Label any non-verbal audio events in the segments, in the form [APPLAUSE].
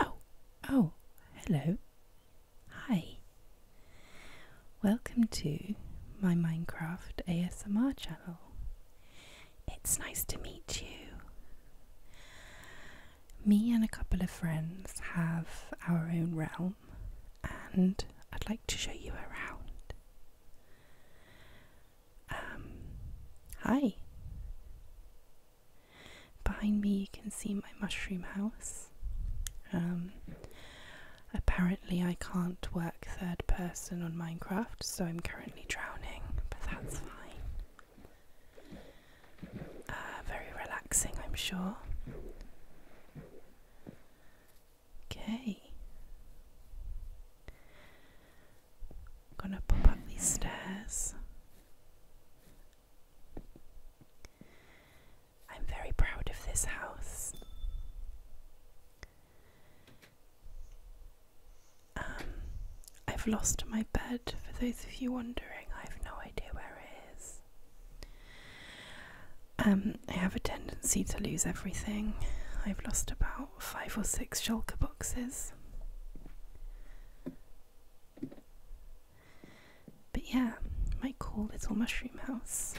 Oh, oh, hello. Hi. Welcome to my Minecraft ASMR channel. It's nice to meet you. Me and a couple of friends have our own realm, and I'd like to show you around. Um, hi. Behind me, you can see my mushroom house. Um, apparently, I can't work third person on Minecraft, so I'm currently drowning, but that's fine. Uh, very relaxing, I'm sure. Okay. I'm gonna pop up these stairs. I'm very proud of this house. Um, I've lost my bed, for those of you wondering, I have no idea where it is. Um, I have a tendency to lose everything. I've lost about five or six shulker boxes. But yeah, my cool little mushroom house.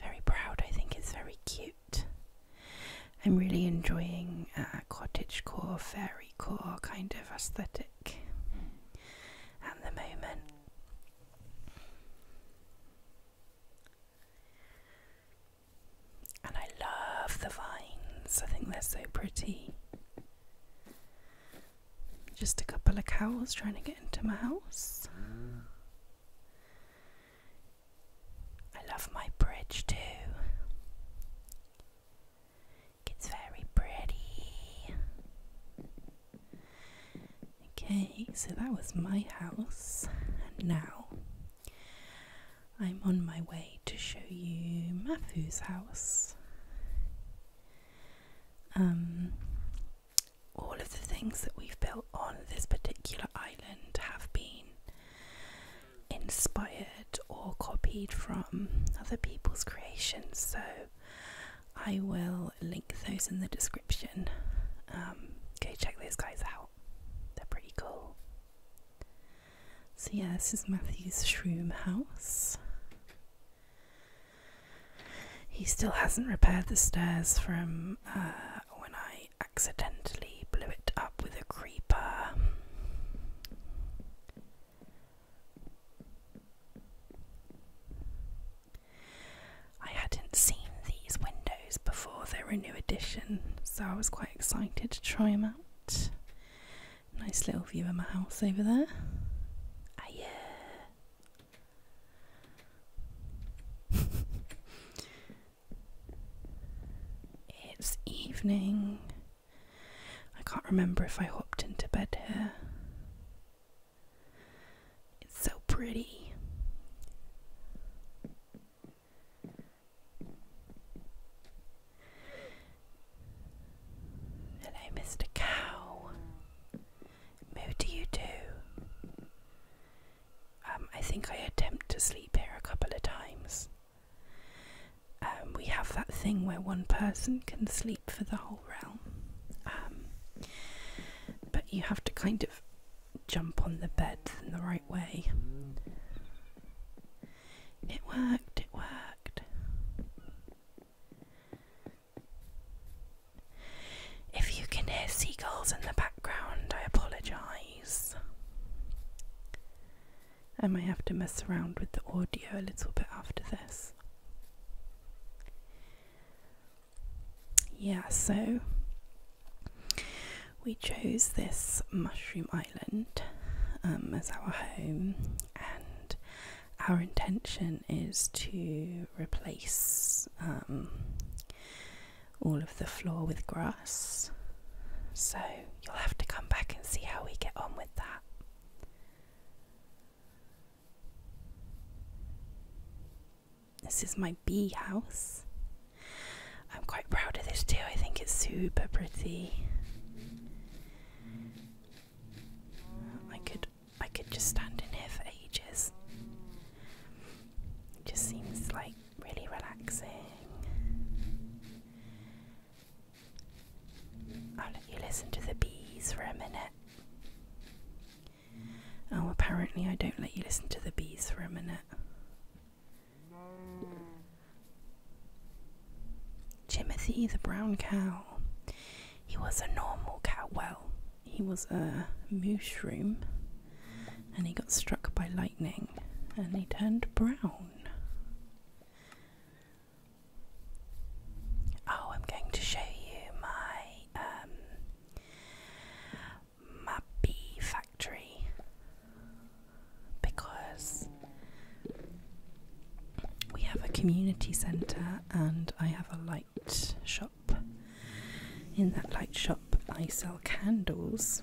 Very proud, I think it's very cute. I'm really enjoying uh, cottagecore, fairycore kind of aesthetic at the moment. And I love the vines, I think they're so pretty. Just a couple of cows trying to get into my house. I love my bridge too. It's very pretty. Okay, so that was my house, and now I'm on my way to show you Matthew's house. Um, all of the things that we've built on this particular island have been inspired or copied from other people's creations, so I will link those in the description. Um, okay, check those guys out, they're pretty cool. So, yeah, this is Matthew's shroom house. He still hasn't repaired the stairs from uh, when I accidentally blew it up with a creeper. I hadn't seen these windows before, they were a new addition, so I was quite excited to try them out. Nice little view of my house over there. Ah, yeah. [LAUGHS] It's evening. I can't remember if I hopped into bed here. It's so pretty. Hello, Mr. Cow. Moo do you do? Um, I think I attempt to sleep here a couple of times. Um, we have that thing where one person can sleep for the whole realm, um, but you have to kind of jump on the bed in the right way. It worked, it worked. If you can hear seagulls in the background, I apologise. I might have to mess around with the audio a little bit after this. Yeah, so we chose this mushroom island um, as our home, and our intention is to replace um, all of the floor with grass. So you'll have to come back and see how we get on with that. This is my bee house. I'm quite proud of this too, I think it's super pretty. I could I could just stand in here for ages. It just seems like really relaxing. I'll let you listen to the bees for a minute. Oh, apparently, I don't let you listen to the bees for a minute. Timothy the brown cow. He was a normal cow. Well, he was a mushroom and he got struck by lightning and he turned brown. Oh, I'm going to show you my um, Mappy factory because we have a community centre and I have a light shop. In that light shop, I sell candles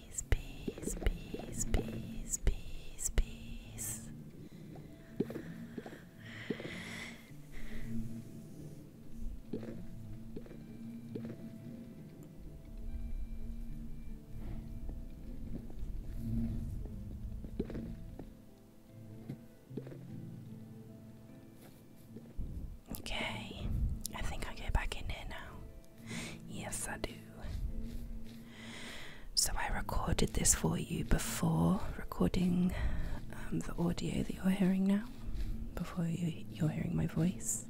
peace, peace, peace, peace, peace. Okay, I think i get back in there now. Yes, I do. So I recorded this for you before recording um, the audio that you're hearing now, before you, are hearing my voice.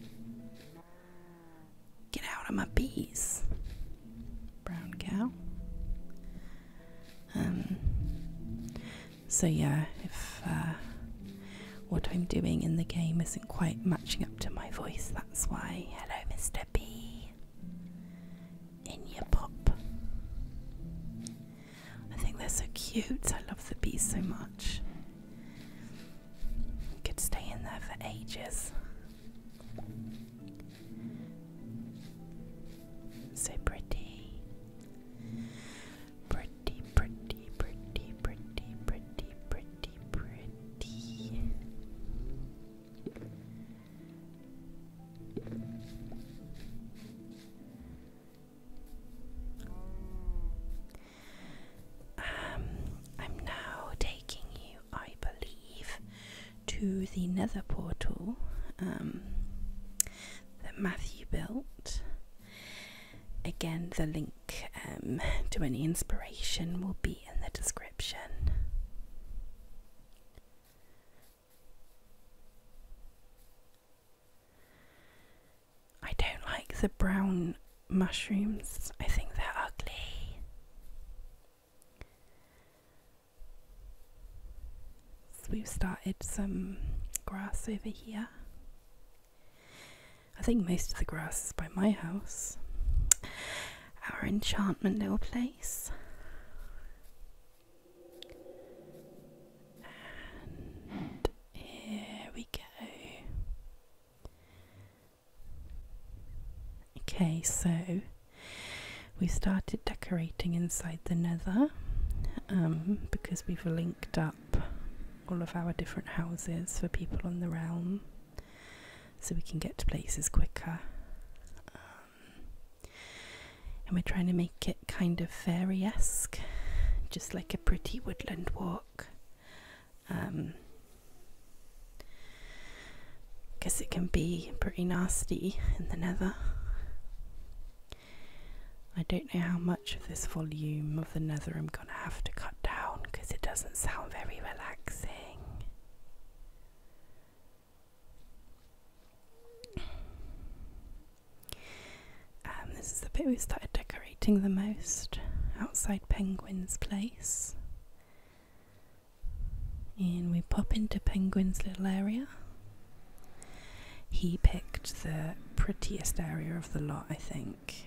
Get out of my bees, brown cow. Um. So yeah, if uh, what I'm doing in the game isn't quite matching up to my voice, that's why. Hello, Mr. Bee. In your pop. I think they're so cute. I love the bees so much. Could stay in there for ages. So Pretty pretty, pretty, pretty, pretty, pretty, pretty, pretty. I'm now taking you, I believe, to the nether portal um, that Matthew built. Again, the link um, to any inspiration will be in the description. I don't like the brown mushrooms, I think they're ugly. So we've started some grass over here. I think most of the grass is by my house. Our enchantment little place. And here we go. Okay, so we started decorating inside the nether um, because we've linked up all of our different houses for people on the realm so we can get to places quicker. Um, and we're trying to make it kind of fairy esque, just like a pretty woodland walk. Um, because it can be pretty nasty in the nether. I don't know how much of this volume of the nether I'm going to have to cut down because it doesn't sound very relaxing. Um, this is the bit we started decorating the most outside Penguin's place. And we pop into Penguin's little area. He picked the prettiest area of the lot, I think.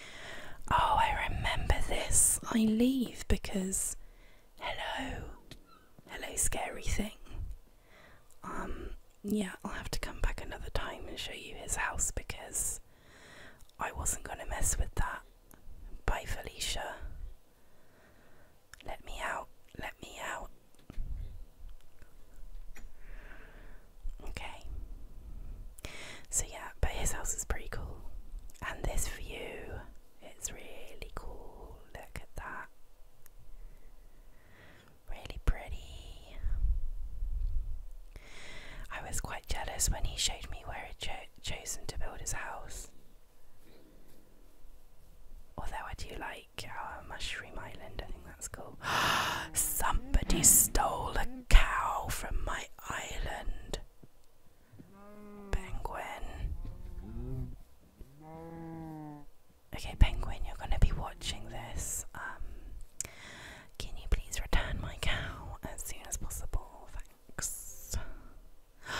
Oh, I remember this. I leave because hello. Hello scary thing. Um yeah, I'll have to come back another time and show you his house because I wasn't going to mess with that. Bye, Felicia. Let me out. Let me out. Okay. So yeah, but his house is pretty cool. And this view, it's really cool. Look at that. Really pretty. I was quite jealous when he showed me where he'd chosen to build his house. Although I do like our uh, mushroom island, I think that's cool. [GASPS] Somebody stole a cow from my island. Penguin. Okay, Penguin, you're going to be watching this. Um, can you please return my cow as soon as possible? Thanks. [GASPS]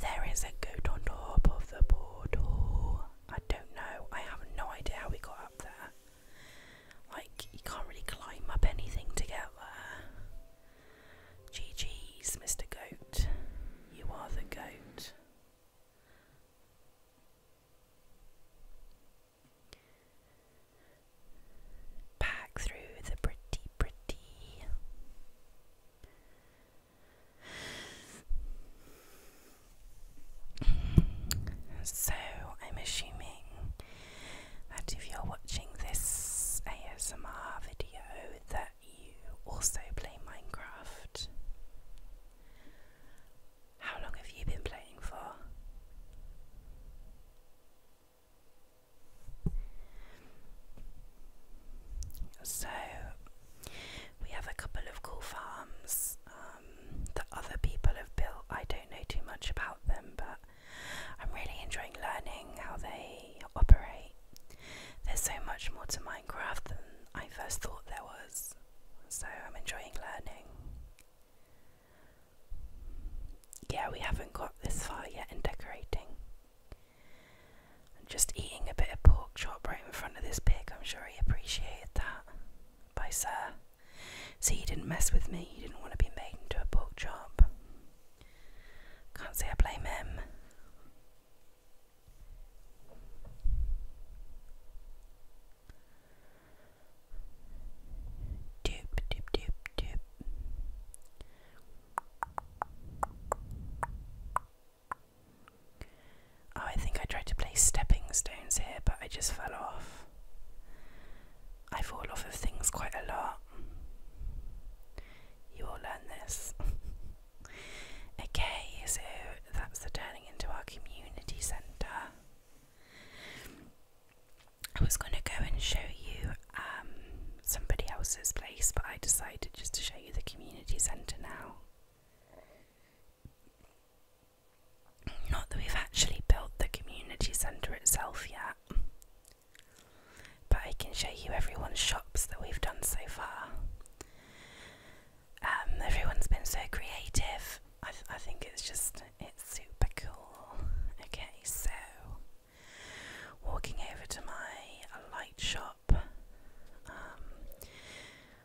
There is a goat on top of the board. I don't know. I have no idea how we got up there. Like, you can't really climb up anything together. GG's, Mr. Goat. You are the goat. Back through the pretty, pretty. So, I'm assuming that if you're watching this ASMR video that you also play Minecraft. How long have you been playing for? So we have a couple of cool farms um, that other people have built. I don't know too much about them, but I'm really enjoying learning how they operate. There's so much more to Minecraft than I first thought there was, so I'm enjoying learning. Yeah, we haven't got this far yet in decorating. just eating a bit of pork chop right in front of this pig, I'm sure he appreciated that. Bye, sir. See, he didn't mess with me, He didn't want to be made into a pork chop. Can't say I blame him. Doop, doop, doop, doop. Oh, I think I tried to play stepping stones here, but I just fell off. I fall off of things quite a lot. You will learn this. okay, so that's the turning into our community centre. I was going to go and show you um, somebody else's place, but I decided just to show you the community centre now. Not that we've actually built the community centre itself yet. But I can show you everyone's shops that we've done so far. Um, everyone's been so creative. I, I think it's just it's super cool. Okay, so walking over to my light shop, um,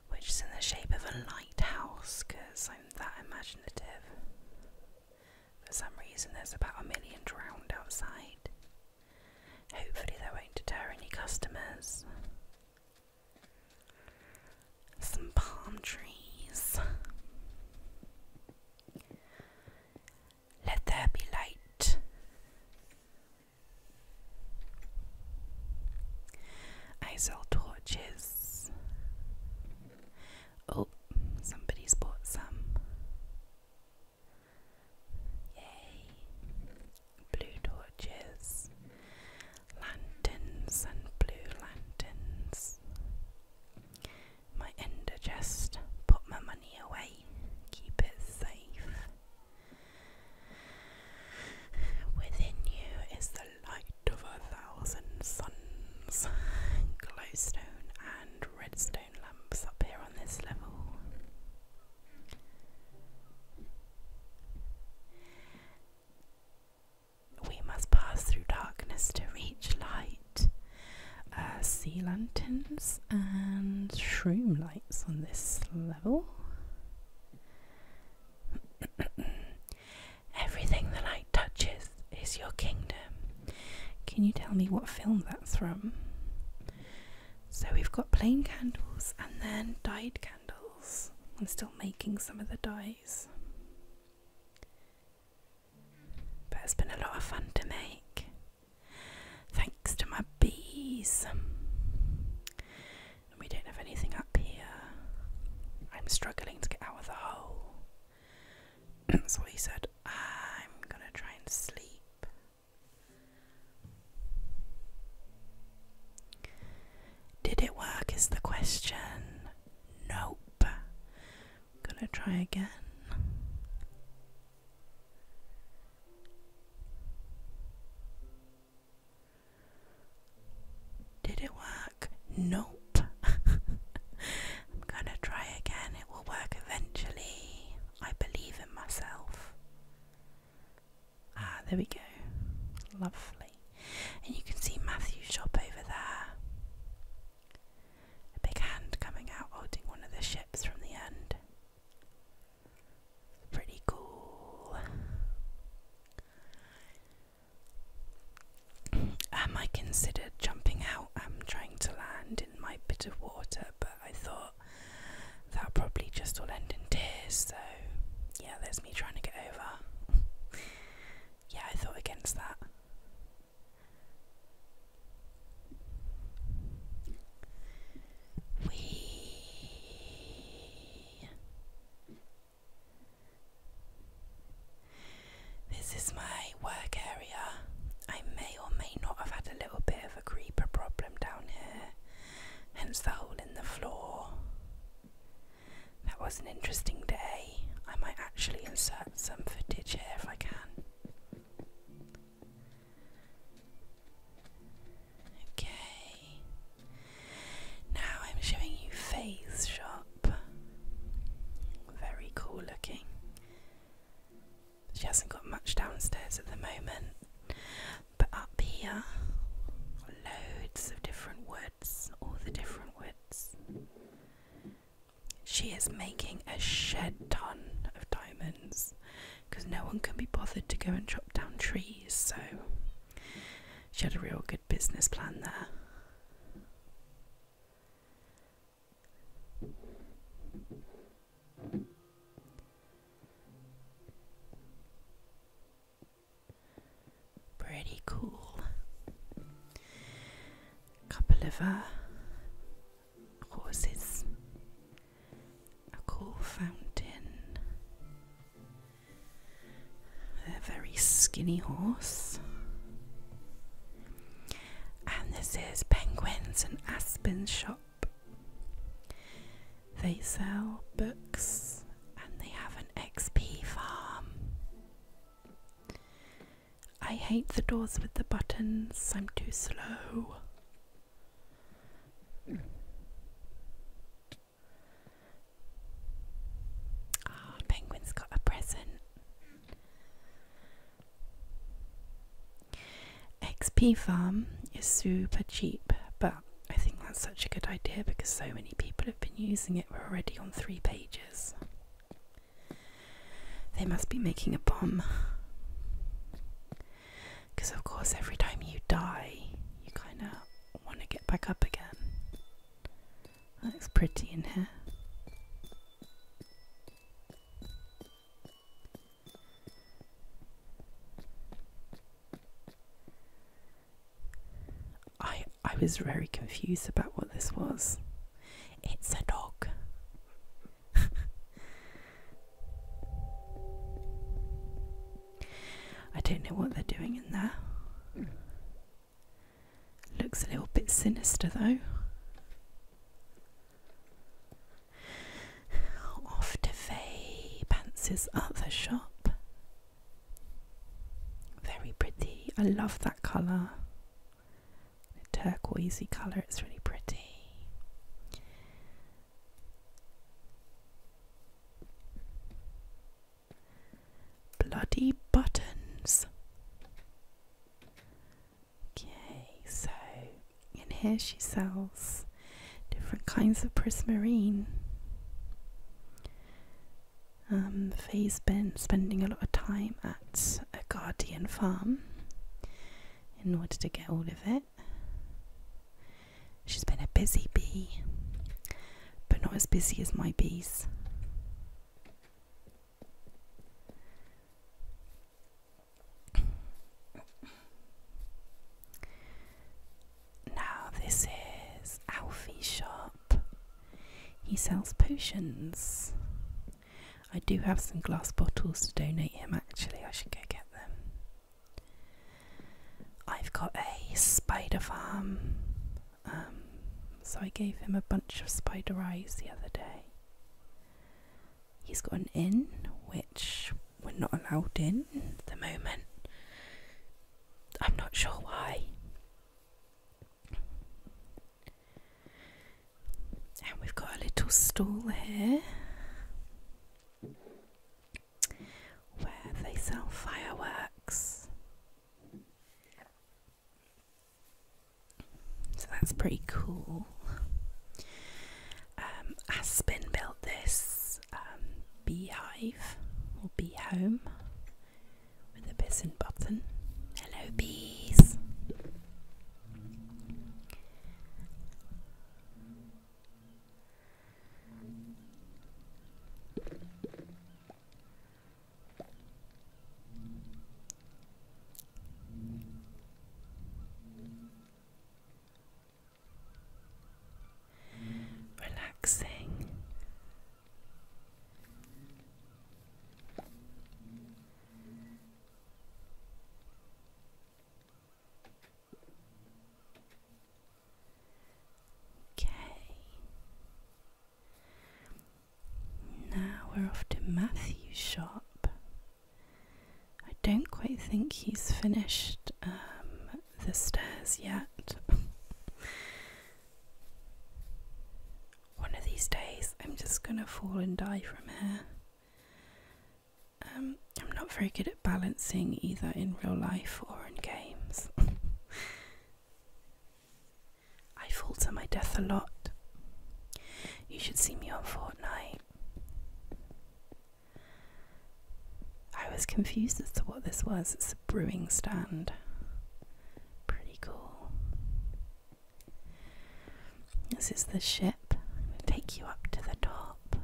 which is in the shape of a lighthouse because I'm that imaginative. For some reason, there's about a million drowned outside. Hopefully, they won't deter any customers. Some palm trees. Let there be light. I sell torches. Oh, somebody's bought some. Yay! Blue torches, lanterns, and blue lanterns. My ender chest, put my money away, keep it safe. Within you is the light of a thousand suns, glowstone and redstone phone lamps up here on this level. We must pass through darkness to reach light. Uh, sea lanterns and shroom lights on this level. [COUGHS] Everything the light touches is your kingdom. Can you tell me what film that's from? So we've got plain candles and then dyed candles. I'm still making some of the dyes. But it's been a lot of fun to make. Thanks to my bees. And we don't have anything up here. I'm struggling to get out of the hole. So [CLEARS THROAT] he said. I'm gonna try and sleep. Did it work? Is the question. Nope. I'm gonna try again. Did it work? Nope. [LAUGHS] I'm gonna try again. It will work eventually. I believe in myself. Ah, there we go. Lovely. And you can see Matthew's shop over there. A big hand coming out holding one of the ships from the end. Pretty cool. Um, I considered jumping out. I'm trying to land in my bit of water, but I thought that probably just all end in tears, so yeah, there's me trying to get over. yeah, I thought against that. Wee. This is my work area. I may or may not have had a little bit of a creeper problem down here, hence the hole in the floor. That was an interesting day. I might actually insert some footage here if I can. Okay. Now I'm showing you Faye's shop. Very cool looking. She hasn't got much downstairs at the moment, but up here, loads of different woods, all the different woods. She is making a shed ton of diamonds because no one can be bothered to go and chop down trees, so she had a real good business plan there. Pretty cool. A Couple of uh, horses, a cool fountain. A very skinny horse. And this is Penguins and aspen shop. They sell books and they have an XP farm. I hate the doors with the buttons, I'm too slow. Ah, Penguin's got a present. XP Farm is super cheap, but I think that's such a good idea because so many people have been using it. We're already on three pages. They must be making a bomb. Because, of course, every time you die, you kind of want to get back up again. That looks pretty in here. I I was very confused about what this was. It's a dog. [LAUGHS] I don't know what they're doing in there. Looks a little bit sinister though off to Fay Pants's other shop. Very pretty. I love that colour. turquoisey colour, it's really pretty. Bloody buttons. Okay, so in here she sells different kinds of prismarine. Um, Faye's been spending a lot of time at a guardian farm in order to get all of it. She's been a busy bee, but not as busy as my bees now, this is Alfie's shop. He sells potions. I do have some glass bottles to donate him, actually. I should go get them. I've got a spider farm. Um, so I gave him a bunch of spider eyes the other day. He's got an inn, which we're not allowed in at the moment. I'm not sure why. And we've got a little stall here where they sell fireworks. So that's pretty cool. Um, Aspen built this um, beehive or bee home with a piston button. Hello, bees relaxing. Okay. Now we're off to Matthew's shop. I don't quite think he's finished um, the stairs yet. [LAUGHS] One of these days, I'm just gonna fall and die from here. Um, I'm not very good at balancing either in real life or in games. [LAUGHS] I fall to my death a lot. You should see me on Fortnite. I was confused as to what this was. It's a brewing stand. Pretty cool. This is the ship. Take you up to the top.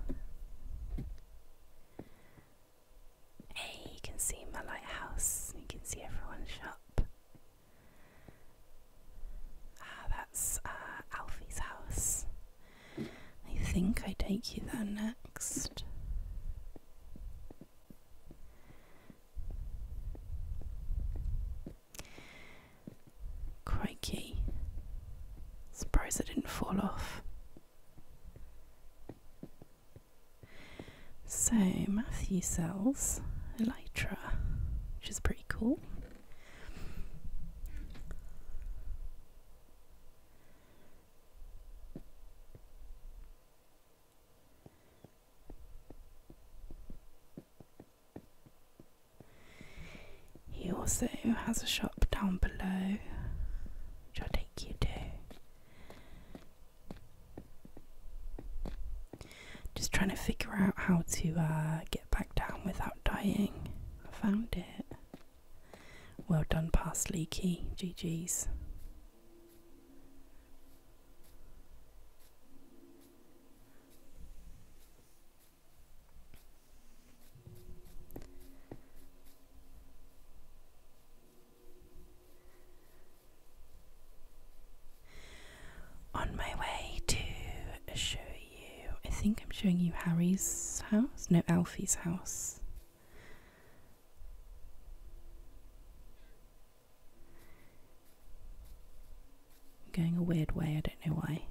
Hey, you can see my lighthouse. You can see everyone's shop. Ah, that's uh, Alfie's house. I think I take you there next. Crikey. Surprised I didn't fall off. So, Matthew sells Elytra, which is pretty cool. He also has a shop down below, which I'll take you to. Just trying to figure out how to uh, get back down without dying. I found it. Well done, past leaky. GG's. On my way to Ashui I think I'm showing you Harry's house. No, Alfie's house. I'm going a weird way, I don't know why.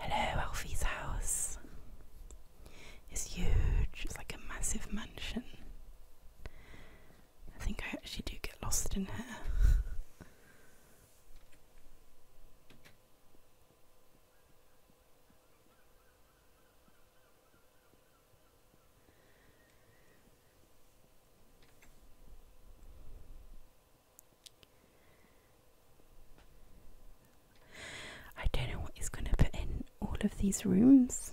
Hello, Alfie's house. It's huge, it's like a massive mansion. I think I actually do get lost in here. I don't know what he's going to put in all of these rooms.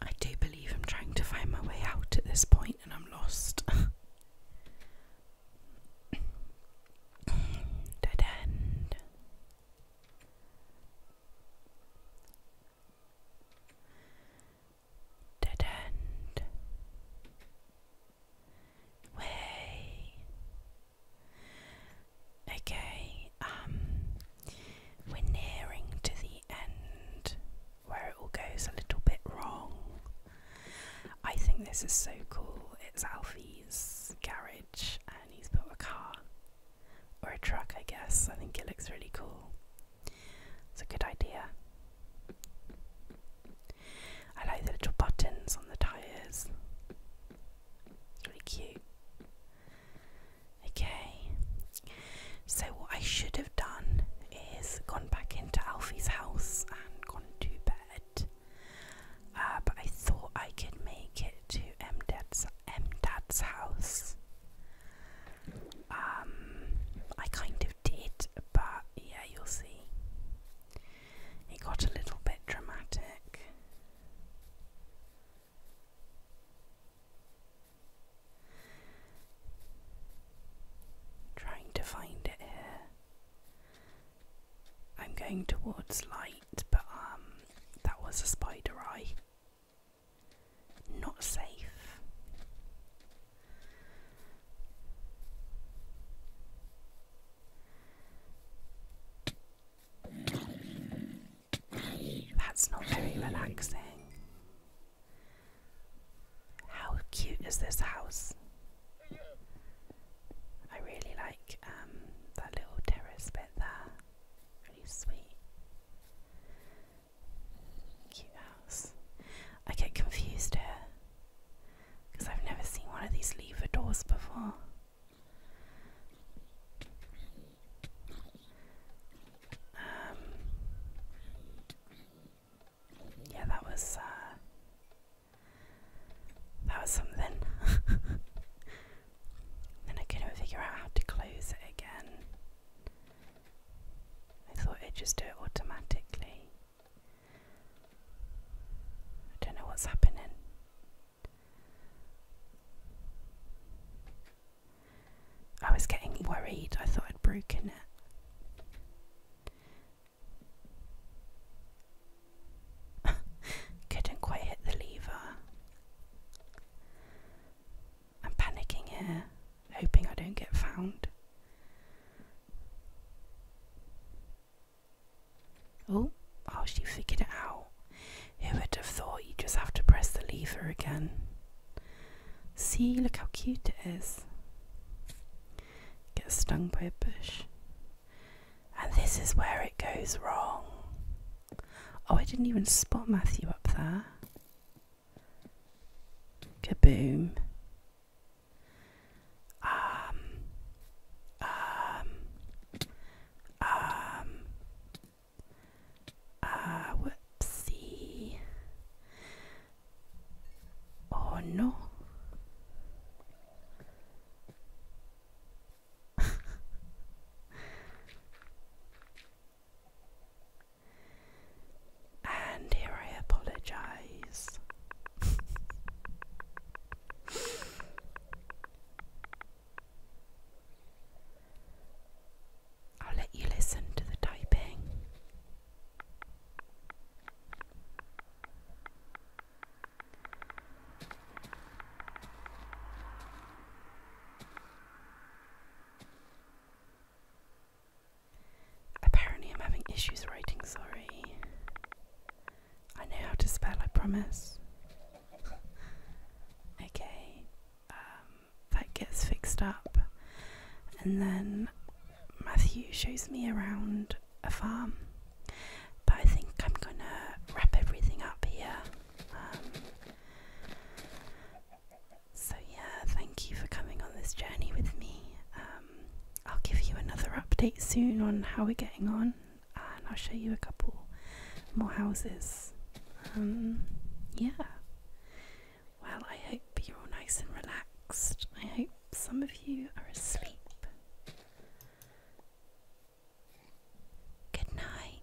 I do believe I'm trying to find my way out at this point and I'm lost. [LAUGHS] Dead end. Dead end. Way. Okay, um, we're nearing to the end where it all goes a little bit wrong. I think this is so cool. It's Alfie's garage and he's built a car or a truck, I guess. I think it looks really cool. It's a good idea. I like the little buttons on the tyres. It's Really cute. Okay. So, what I should have done is gone back into Alfie's house and gone to bed. Uh, but I thought I could make it to M Dad's house um, I kind of did, but yeah, you'll see. It got a little bit dramatic. Trying to find it here. I'm going towards light, but um, that was a spider eye. Not safe. That's not very relaxing. How cute is this house? I really like um, that little terrace bit there. Really sweet. Cute house. I get confused here because I've never seen one of these lever doors before. Um, yeah, that was uh, that was something. [LAUGHS] then I couldn't figure out how to close it again. I thought it'd just do it automatically. I don't know what's happening. I was getting worried, I thought I'd broken it. [LAUGHS] Couldn't quite hit the lever. I'm panicking here, hoping I don't get found. Oh, oh, she figured it out. Who would have thought you just have to press the lever again? See, look how cute it is. Get stung by a bush. And this is where it goes wrong. Oh, I didn't even spot Matthew up there. Kaboom. Um, um, um, uh, whoopsie. Oh no. [LAUGHS] And here I apologize. I'll let you listen to the typing. Apparently, I'm having issues writing, sorry. I know how to spell, I promise. okay, um, that gets fixed up. And then Matthew shows me around a farm. But I think I'm gonna wrap everything up here. Um, so, yeah, thank you for coming on this journey with me. Um, I'll give you another update soon on how we're getting on, and I'll show you a couple more houses. Um, yeah. Well, I hope you're all nice and relaxed. I hope some of you are asleep. Good night.